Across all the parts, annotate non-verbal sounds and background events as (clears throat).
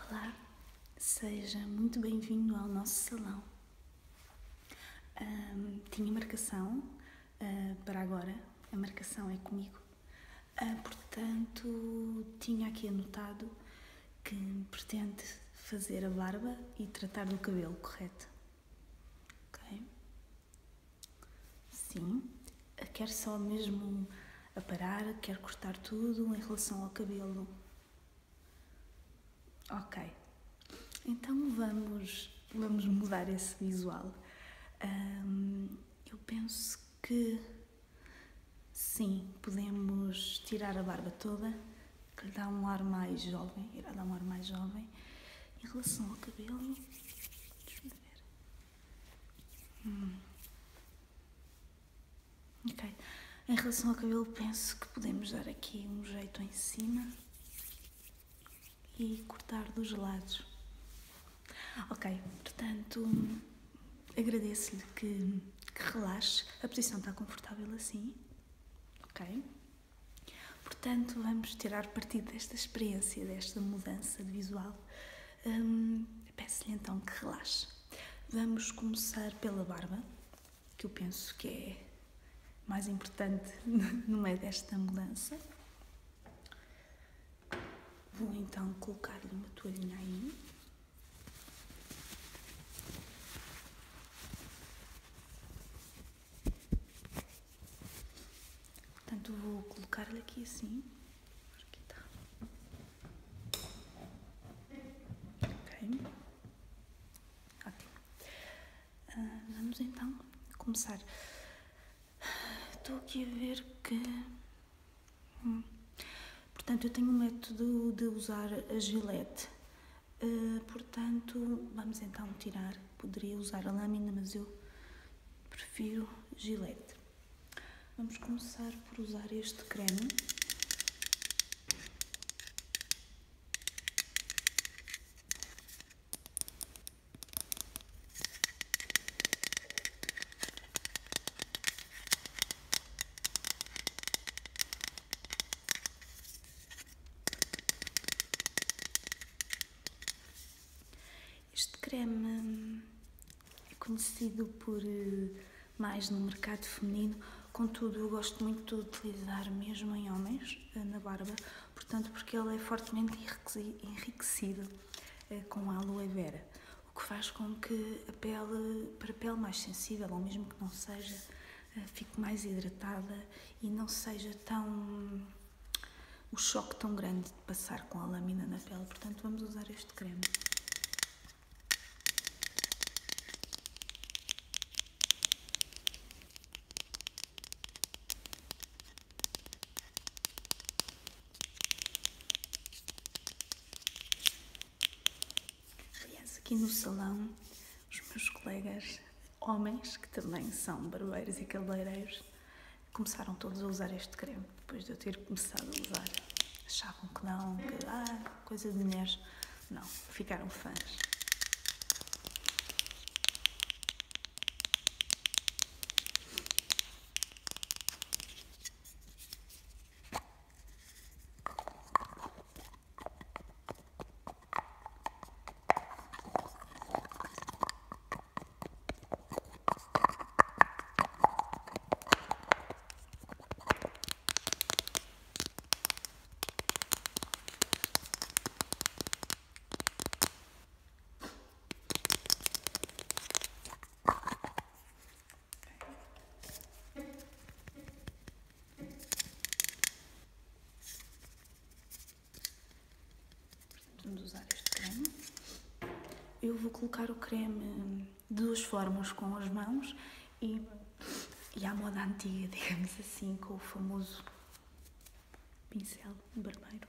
Olá, seja muito bem-vindo ao nosso salão. tinha marcação ah, para agora, a marcação é comigo, ah, portanto, tinha aqui anotado que pretende fazer a barba e tratar do cabelo, correto? Ok? Sim quer só mesmo aparar, quer cortar tudo em relação ao cabelo. Ok, então vamos, vamos mudar esse visual. eu penso que sim, podemos tirar a barba toda, que lhe dá um ar mais jovem, irá dar um ar mais jovem. Em relação ao cabelo, deixa ver. Hum. Ok. Em relação ao cabelo, penso que podemos dar aqui um jeito em cima e cortar dos lados. Ok, portanto, agradeço-lhe que, relaxe. A posição está confortável assim. Ok? Portanto, vamos tirar partido desta experiência, desta mudança de visual. Hum, Peço-lhe então que relaxe. Vamos começar pela barba, que eu penso que é mais importante (laughs) no meio desta mudança. Vou então colocar-lhe uma toalhinha aí. Portanto, vou colocar-lhe aqui assim vamos então começar. Estou aqui a ver que. Hum, portanto, eu tenho o um método de usar a gilete. Eh, portanto, vamos então tirar. Poderia usar a lâmina, mas eu prefiro gilete. Vamos começar por usar este creme. Este creme é conhecido por eh, mais no mercado feminino, contudo eu gosto muito de utilizar mesmo em homens, eh, na barba, portanto porque ele é fortemente enriquecido eh, com aloe vera, o que faz com que a pele, para a pele mais sensível, ou mesmo que não seja, fique mais hidratada e não seja tão o choque tão grande de passar com a lâmina na pele, portanto vamos usar este creme. Aliás, aqui no salão, os meus colegas homens, que também são barbeiros e cabeleireiros, começaram todos a usar este creme depois de eu ter começado a usar. Achavam que não, que ah, coisa de mulheres. Não, ficaram fãs. Vamos usar este creme. Eu vou colocar o creme dos fórmulas com as mãos e, e à moda antiga, digamos assim, com o famoso pincel barbeiro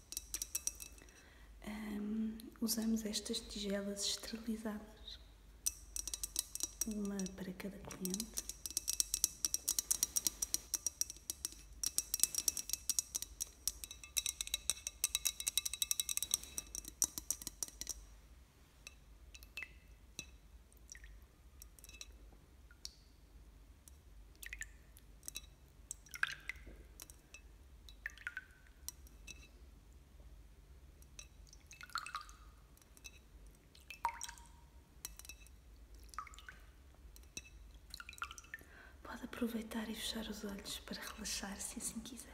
usamos estas tigelas esterilizadas, uma para cada cliente. Pode aproveitar e fechar os olhos para relaxar se assim quiser.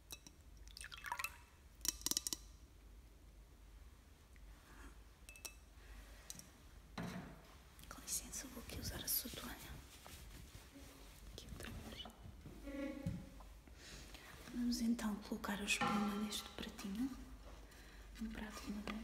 Com licença, vou aqui usar a sua toalha. Vamos então colocar a espuma neste pratinho, no prato de madeira.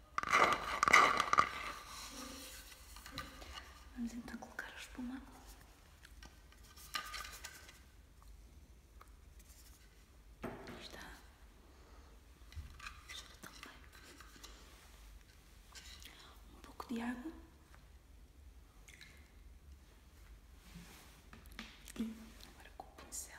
Vamos então colocar a espuma. Aí está. Cheira tão bem. Um pouco de água. E agora com o pincel.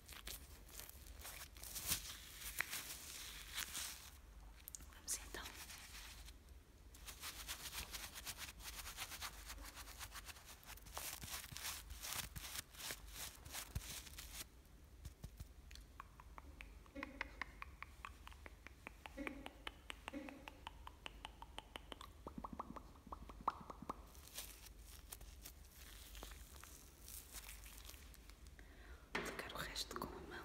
Vamos então tocar o resto com a mão.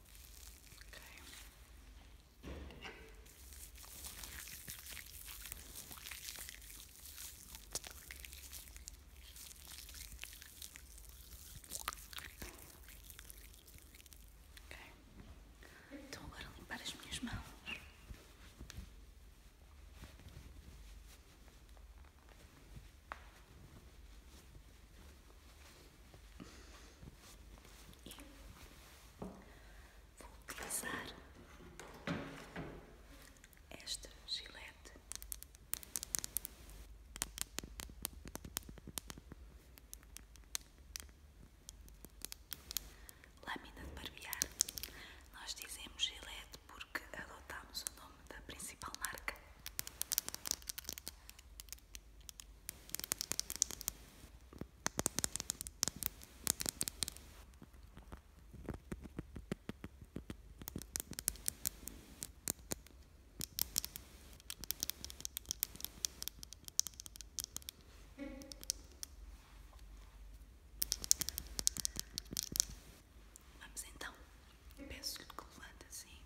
Okay. Então agora limpar as minhas mãos. E vou utilizar este gilete lâmina de barbear. Nós dizemos gilete porque adotámos o nome da principal marca. Vamos então, peço que levanta assim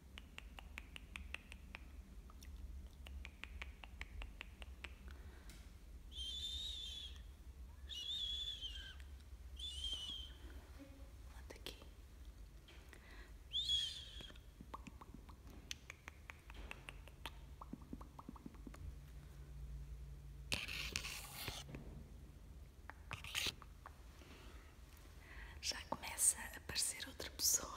Manda aqui. Já começa a aparecer outra pessoa.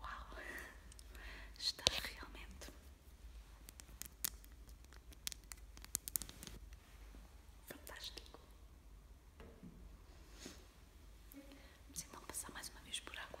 Uau, está realmente fantástico. Vamos então passar mais uma vez por água.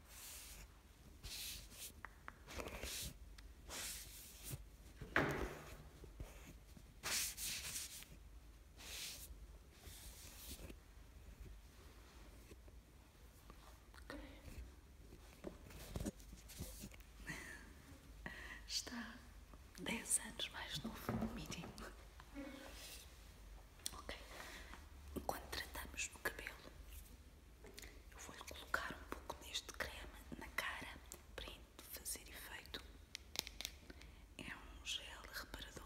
Está dez anos mais novo, mínimo. Ok? Quando tratamos do cabelo, eu vou-lhe colocar um pouco deste creme na cara para fazer efeito. É um gel reparador.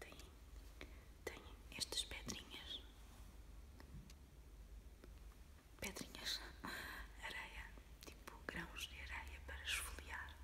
Tem, tem estas pedrinhas, pedrinhas, (laughs) areia, tipo grãos de areia para esfoliar.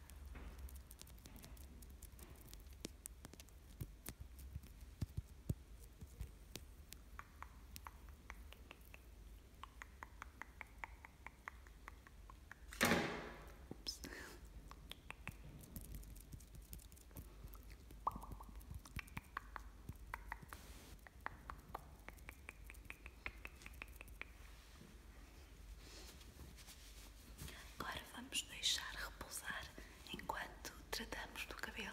Agora vamos deixar repousar enquanto tratamos do cabelo.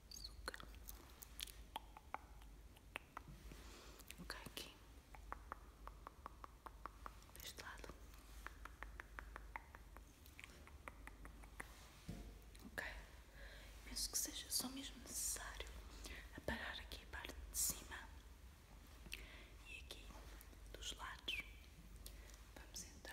açúcar. Vou aqui deste lado. Ok, penso que seja só mesmo necessário aparar aqui a parte de cima e aqui dos lados. Vamos então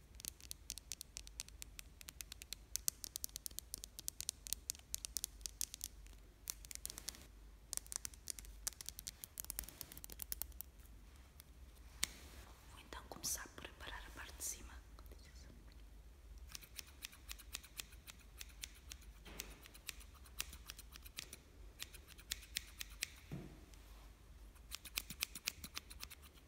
Vou então começar por preparar a parte de cima.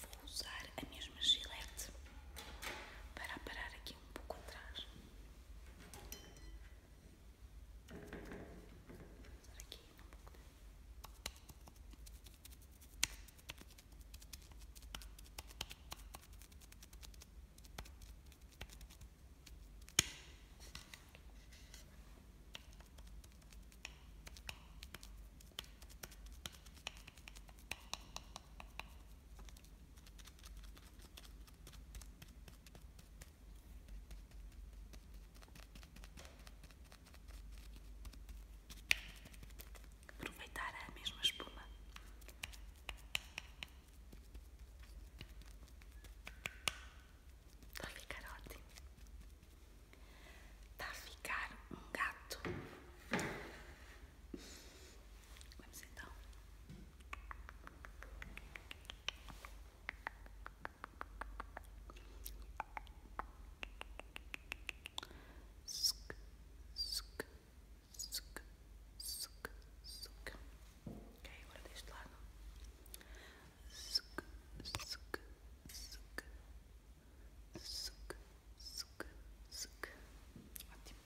Vou usar a mesma gilete para parar aqui um pouco atrás. Aqui um pouco. Aproveitar a mesma espuma Vai tá ficar ótimo. Vai tá ficar um gato. Vamos então suca, suca, suca. Ok, agora deste lado. Suca, suca, suca. Suca, suca, suca. Ótimo.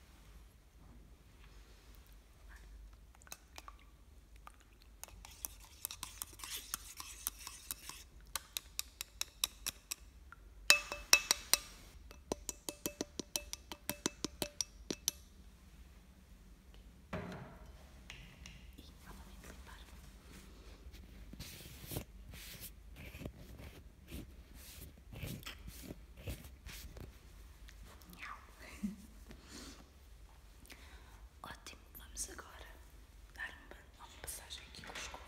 E novamente limpar. Ótimo, vamos agora dar uma, uma passagem aqui com a escova.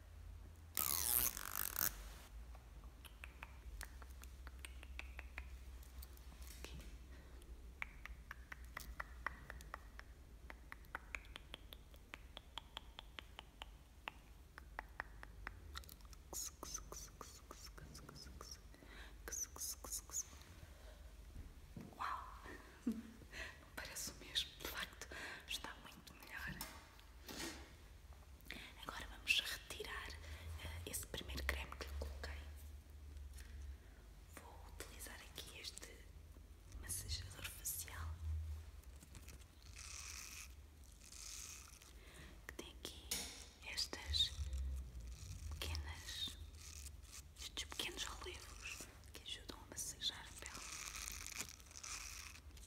Uau! (laughs) parece o mesmo, de facto, está muito melhor. Agora vamos retirar eh, esse primeiro creme que lhe coloquei. Vou utilizar aqui este massajador facial que tem aqui estas pequenas, estes pequenos relevos que ajudam a massajar a pele.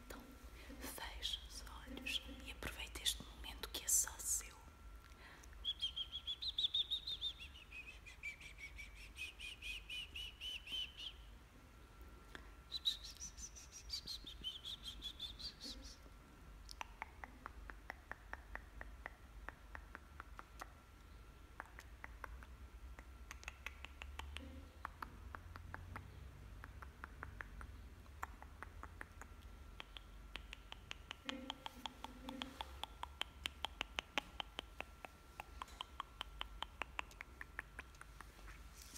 Então, feche os olhos e aproveite este momento que é só seu.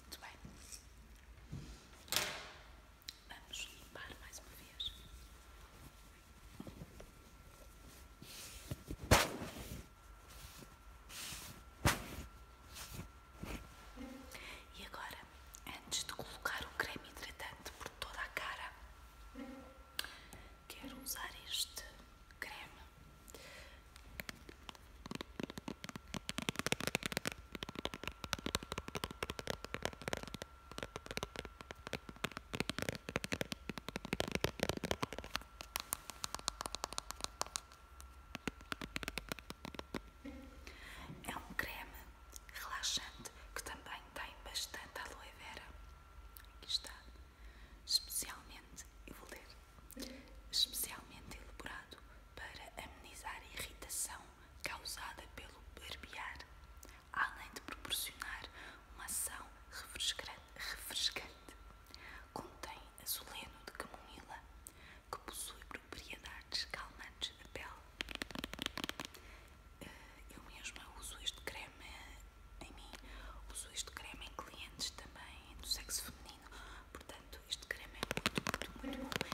Muito bem. Vamos limpar mais uma vez. E agora, antes de colocar o creme hidratante por toda a cara, quero usar este creme. É um creme relaxante que também tem bastante aloe vera. Aqui está. Especialmente, eu vou ler, especialmente elaborado para amenizar a irritação causada pelo barbear, além de proporcionar uma ação refrescante. Contém azuleno de camomila, que possui propriedades calmantes da pele. Eh, eu mesma uso este creme em mim, uso este creme em clientes também do sexo feminino, portanto, este creme é muito, muito, muito bom.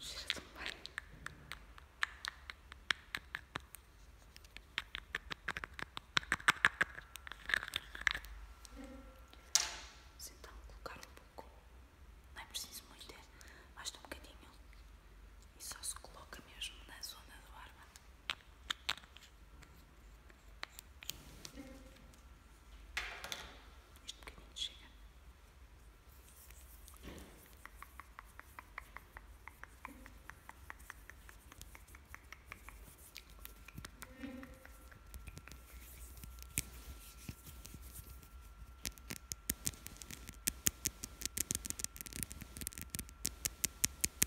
Cheira tão bem. Vamos então colocar um pouco, não é preciso muito, é basta um bocadinho e só se coloca mesmo na zona do arma. Vou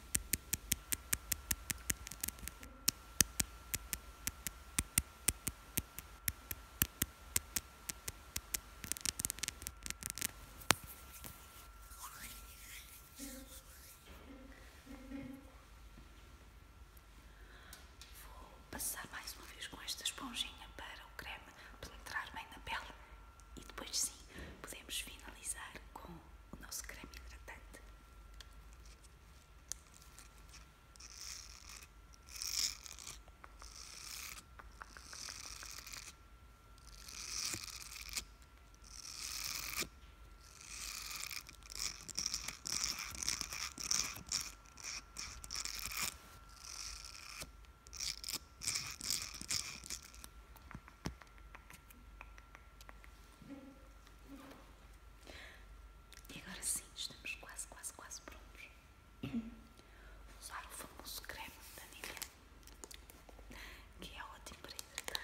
passar mais uma vez com esta esponjinha para o creme penetrar bem na pele e depois sim, podemos finalizar com o nosso creme hidratante. E agora sim, estamos quase, quase, quase prontos. Vou usar o famoso creme da vanilha, que é ótimo para hidratar.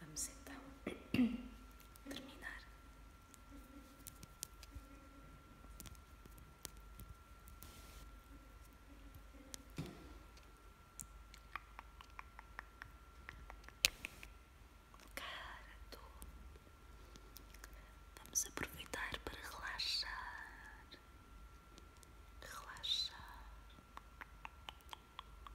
Vamos então (clears throat) terminar. Cara, tu. Vamos aproveitar para relaxar. Relaxar.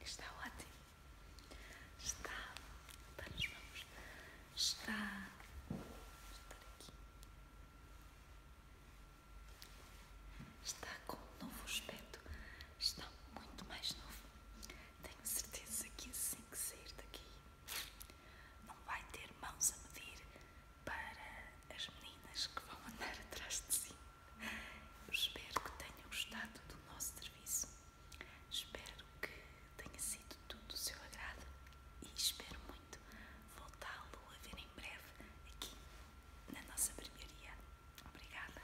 Está ótimo. Está. Vamos, então vamos. Está. Está aqui. Está com novo aspecto. Está muito mais novo. Tenho certeza que assim que sair daqui não vai ter mãos a medir para as meninas que vão andar (laughs) atrás de si. Eu espero que tenham gostado do nosso serviço. Espero que tenha sido tudo do seu agrado e espero muito voltá-lo a ver em breve aqui na nossa barbearia. Obrigada.